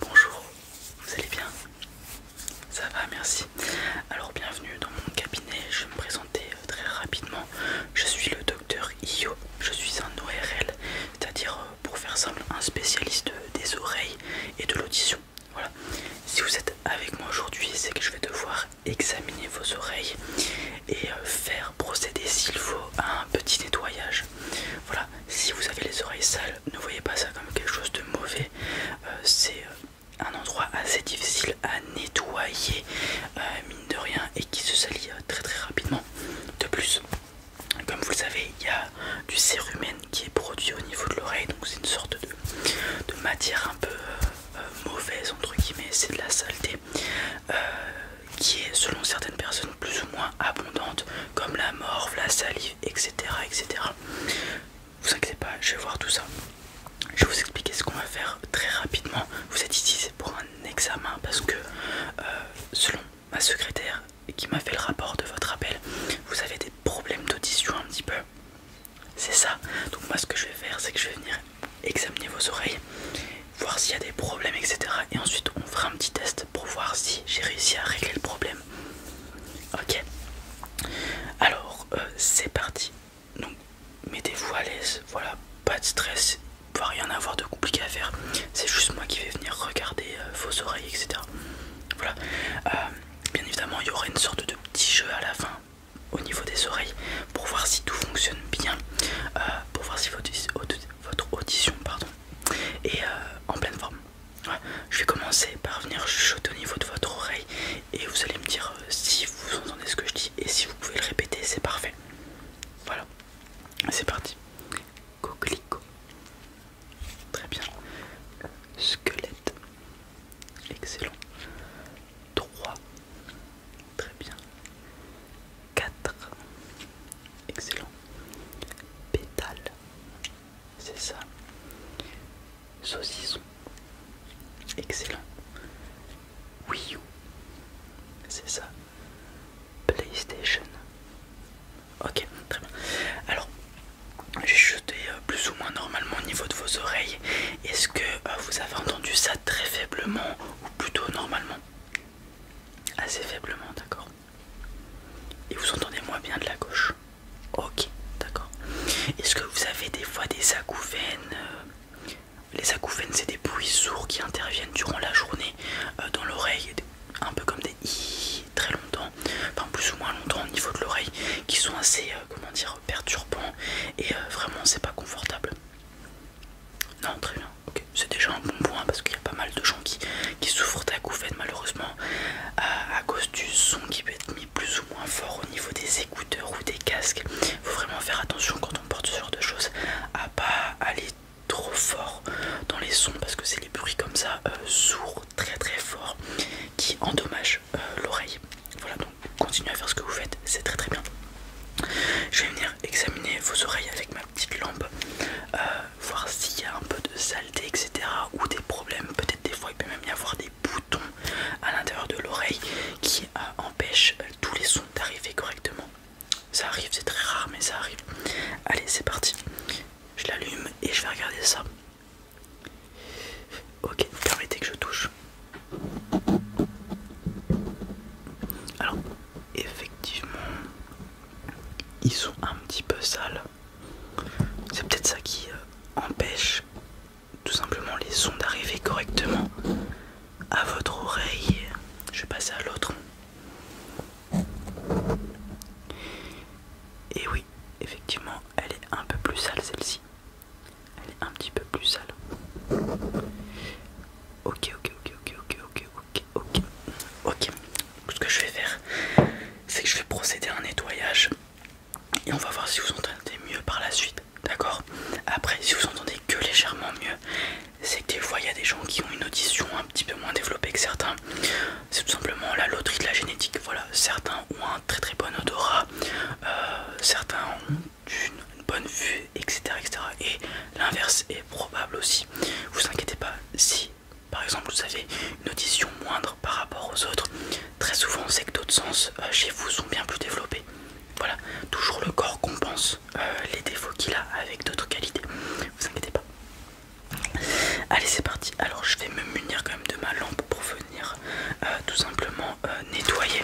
Bonjour, vous allez bien Ça va, merci. Alors bienvenue dans mon cabinet, je vais me présenter euh, très rapidement. Je suis le docteur Io, je suis un ORL, c'est-à-dire euh, pour faire simple un spécialiste euh, des oreilles et de l'audition. Voilà. Si vous êtes avec moi aujourd'hui, c'est que je vais devoir examiner vos oreilles et faire procéder s'il faut à un petit nettoyage. Voilà, si vous avez les oreilles sales, ne voyez pas ça comme quelque chose de mauvais. Euh, c'est euh, un endroit assez difficile à nettoyer, euh, mine de rien, et qui se salit très très rapidement. De plus, comme vous le savez, il y a du cérumen qui est produit au niveau de l'oreille, donc c'est une sorte de, matière un peu mauvaise, entre guillemets, c'est de la saleté qui est selon certaines personnes plus ou moins abondante, comme la morve, la salive, etc. etc. Vous inquiétez pas, je vais voir tout ça. Je vais vous expliquer ce qu'on va faire très rapidement. Vous êtes ici, c'est pour un examen parce que euh, selon ma secrétaire qui m'a fait le rapport de votre appel, vous avez des problèmes d'audition un petit peu. C'est ça. Donc moi ce que je vais faire, c'est que je vais venir examiner vos oreilles voir s'il y a des problèmes, etc. Et ensuite, on fera un petit test pour voir si j'ai réussi à régler le problème. Ok. Alors, euh, c'est parti. Donc, mettez-vous à l'aise. Voilà, pas de stress. Il rien rien avoir de compliqué à faire. C'est juste moi qui vais venir regarder euh, vos oreilles, etc. Voilà. Euh, bien évidemment, il y aura une sorte de petit jeu à la fin au niveau des oreilles pour voir si tout fonctionne bien, pour voir si votre audition pardon, et euh, en pleine forme. Je vais commencer par venir chuchoter au niveau de votre oreille et vous allez me dire euh, si vous entendez ce que je dis et si vous pouvez le répéter, c'est parfait. Voilà, c'est parti. Coquelicot. Très bien. Squelette. Excellent. Droit Très bien. 4. Excellent. Pétale. C'est ça. Saucisson. Excellent. Wii U. C'est ça. PlayStation. Ok, très bien. Alors, j'ai jeté euh, plus ou moins normalement au niveau de vos oreilles. Est-ce que euh, vous avez entendu ça très faiblement ou plutôt normalement Assez faiblement, d'accord. Et vous entendez moins bien de la gauche. Ok, d'accord. Est-ce que vous avez des fois des acouphènes euh, Les acouphènes, c'est des bruits sourds qui interviennent durant la journée euh, dans l'oreille, un peu comme des i très longtemps, enfin plus ou moins longtemps au niveau de l'oreille, qui sont assez, euh, comment dire, perturbants et vraiment c'est pas confortable. Non, très bien. C'est déjà un bon point parce qu'il y a pas mal de gens qui, qui souffrent d'acouphènes malheureusement à, cause du son qui peut être mis plus ou moins fort au niveau des écouteurs ou des casques. Il faut vraiment faire attention quand on porte ce genre de choses à pas aller trop fort dans les sons parce que c'est les bruits comme ça euh, sourds très très forts qui endommagent euh, l'oreille. Voilà donc continuez à faire ce que vous faites, c'est très très bien. Je vais venir Examinez examiner vos oreilles avec ma petite lampe, euh, voir s'il y a un peu de saleté, etc. ou des problèmes. Peut-être des fois il peut même y avoir des boutons à l'intérieur de l'oreille qui euh, empêchent euh, tous les sons d'arriver correctement. Ça arrive, c'est très rare, mais ça arrive. Allez, c'est parti. Je l'allume et je vais regarder ça. Ok, permettez que je touche. Alors, effectivement, ils sont un petit peu sales. C'est peut-être ça qui euh, empêche tout simplement les sons d'arriver correctement à votre oreille. Je vais passer à l'autre. Et oui, effectivement, elle est un peu plus sale celle-ci. Elle est un petit peu plus sale. Ok, ok, ok, ok, ok, ok, ok, ok. Ok, ce que je vais faire, c'est que je vais procéder à un nettoyage et on va voir si vous entendez mieux par la suite, d'accord Après, si vous entendez que légèrement mieux, c'est que des fois il y a des gens qui ont une audition un petit peu moins développée que certains. C'est tout simplement la loterie de la génétique. Voilà, certains ont un très très bon odorat, euh, certains ont d'une bonne vue, etc. etc. Et l'inverse est probable aussi. Vous inquiétez pas si par exemple vous avez une audition moindre par rapport aux autres, très souvent c'est que d'autres sens euh, chez vous sont bien plus développés. Voilà, toujours le corps compense euh, les défauts qu'il a avec d'autres qualités. Vous inquiétez pas. Allez c'est parti, alors je vais me munir quand même de ma lampe pour venir euh, tout simplement nettoyer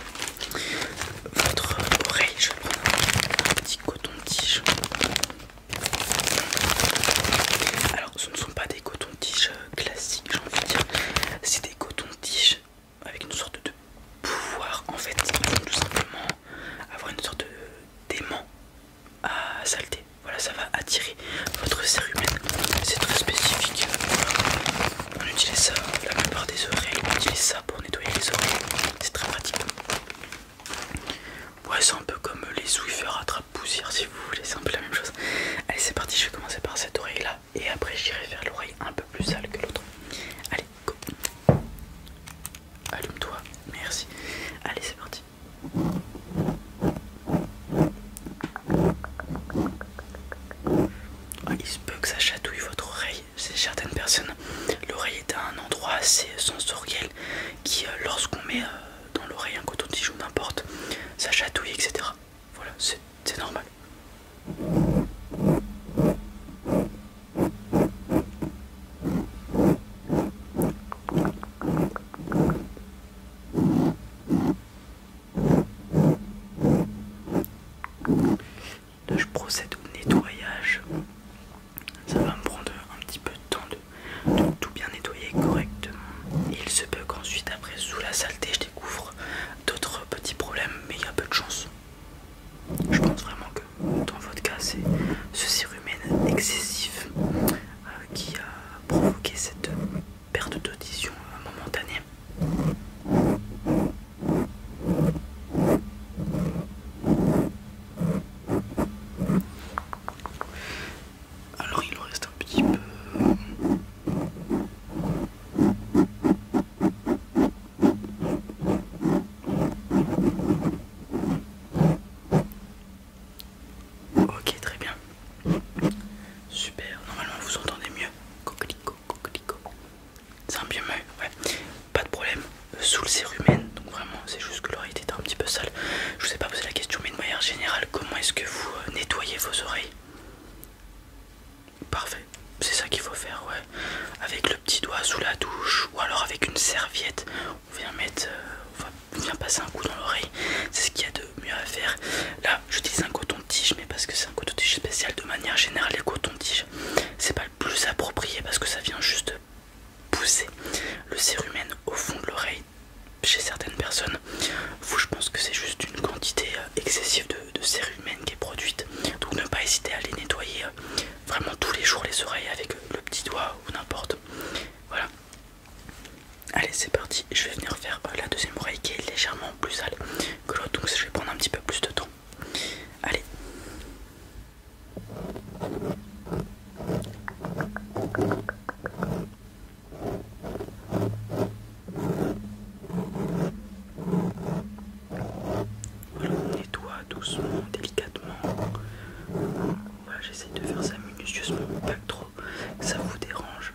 votre oreille. Je vais prendre un petit coton-tige. Alors, ce ne sont pas des cotons-tiges euh, classiques, j'ai envie de dire. C'est des cotons-tiges avec une sorte de pouvoir en fait. Tout simplement avoir une sorte d'aimant à salter. Voilà, ça va attirer votre serre C'est très spécifique. On utilise ça, la plupart des oreilles, on utilise ça pour nettoyer les oreilles, c'est très pratique. Ouais, c'est un peu comme les à attrape poussière si vous voulez, c'est un peu la même chose. Allez, c'est parti, je vais commencer par cette oreille là et après j'irai vers l'oreille un peu plus sale que l'autre. Allez, go. Allume-toi, merci. Allez, c'est parti. Ah, il se peut que ça chatouille votre oreille. C'est certaines personnes. L'oreille est à un endroit assez sensoriel qui, euh, lorsqu'on met euh, dans l'oreille un coton-tige ou n'importe, ça chatouille, etc. Voilà, c'est normal je procède au nettoyage. Ça va me prendre un petit peu de temps de, tout bien nettoyer correctement. Et il se peut qu'ensuite après sous la saleté je découvre d'autres petits problèmes mais il y a peu de chance. Je pense vraiment que dans votre cas c'est ce cérumen excessif euh, qui a provoqué cette perte d'audition euh, momentanée alors il en reste un petit peu. Ok, très bien. Super, normalement vous entendez mieux. Coquelicot, coquelicot. C'est un bien mieux, ouais. Pas de problème. Euh, sous le cérumen, donc vraiment, c'est juste que l'oreille était un petit peu sale. Je vous ai pas posé la question, mais de manière générale, comment est-ce que vous euh, nettoyez vos oreilles Parfait, c'est ça qu'il faut faire, ouais. Avec le petit doigt sous la douche ou alors avec une serviette, on vient mettre, euh, on vient passer un coup dans l'oreille. C'est ce qu'il y a de euh, mieux à faire. Là, j'utilise un coton-tige, mais parce que c'est un coton-tige spécial. De manière générale, les cotons-tiges, c'est pas le plus approprié parce que ça vient juste pousser le cérumen au fond de l'oreille chez certaines personnes. Vous, je pense que c'est juste une quantité euh, excessive de, de cérumen qui est produite. Donc, ne pas hésiter à les nettoyer euh, vraiment tous les jours les oreilles avec le petit doigt ou n'importe. Voilà, Allez, c'est parti. Je vais venir faire euh, la deuxième oreille qui est légèrement plus sale que l'autre, donc je vais prendre un petit peu plus de temps. Allez. on nettoie doucement, délicatement. Voilà, j'essaie de faire ça minutieusement, pas trop ça vous dérange.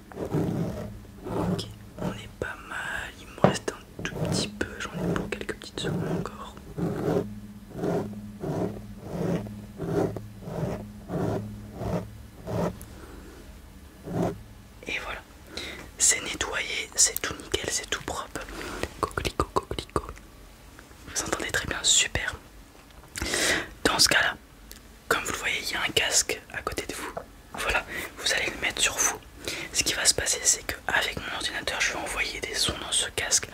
Ok, on est pas mal, il me reste un tout petit peu, j'en ai pour quelques petites secondes encore. Et voilà, c'est nettoyé, c'est tout nickel, c'est tout propre. Coquelicot, coquelicot. Vous entendez très bien, super. Dans ce cas-là, comme vous le voyez, il y a un casque à côté de vous. Voilà, vous allez le mettre sur vous. Ce qui va se passer, c'est qu'avec mon ordinateur, je vais envoyer des sons dans ce casque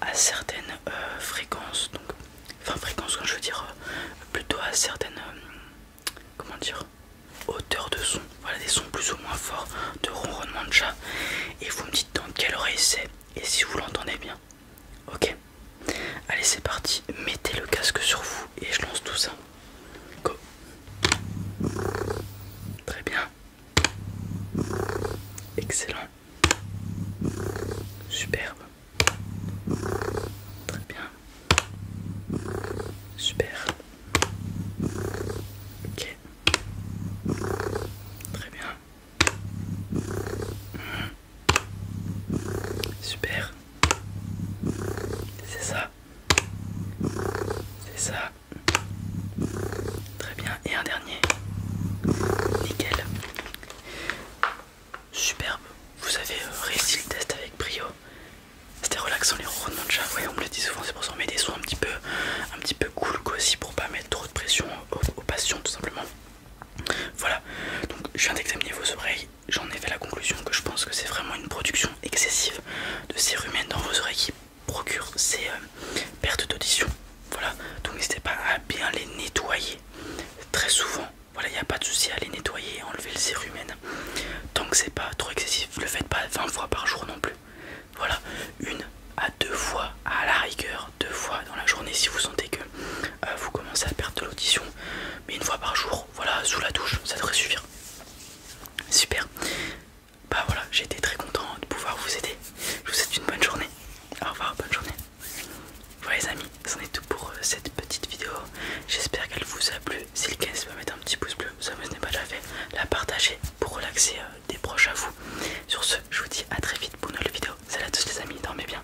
à certaines euh, fréquences. Donc, enfin, fréquences, quand je veux dire, euh, plutôt à certaines. Euh, comment dire Hauteur de son. Voilà, des sons plus ou moins forts de ronronnement de chat. Et vous me dites dans quelle oreille c'est et si vous l'entendez bien. Ok Allez, c'est parti. Mettez le casque sur vous et je lance tout ça. Très bien. Excellent. Superbe. Très bien. Super. Ok. Très bien. Hmm. Super. C'est ça. C'est ça. Très bien. Et un dernier. Nickel. Superbe. Vous avez euh, réussi le test avec brio. C'était relaxant les rondements de chat. on me le dit souvent, c'est pour ça qu'on met des sons un petit peu, un petit peu cool aussi pour pas mettre trop de pression aux, passions tout simplement. Voilà, donc je viens d'examiner vos oreilles j'en ai fait la conclusion que je pense que c'est vraiment une production excessive de cérumènes dans vos oreilles qui procure ces euh, pertes d'audition. Voilà, donc n'hésitez pas à bien les nettoyer très souvent. Voilà, il n'y a pas de souci à les nettoyer enlever le cérumène. Tant que c'est pas trop excessif, le faites pas 20 fois par jour non plus. Voilà, une à deux fois à la rigueur, deux fois dans la journée si vous sentez que euh, vous commencez à perdre de l'audition, mais une fois par jour, voilà, sous la douche, ça devrait suffire. Super. Bah voilà, j'ai été très content de pouvoir vous aider. Je vous souhaite une bonne journée. Au revoir, bonne journée. Voilà les amis, c'en est tout pour euh, cette petite vidéo. J'espère qu'elle vous a plu. Si le cas, n'hésitez pas mettre un petit pouce bleu, ça vous n'est pas déjà fait. La partager pour relaxer euh, des proches à vous. Sur ce, je vous dis à très vite pour une nouvelle vidéo. Salut à tous les amis, dormez bien.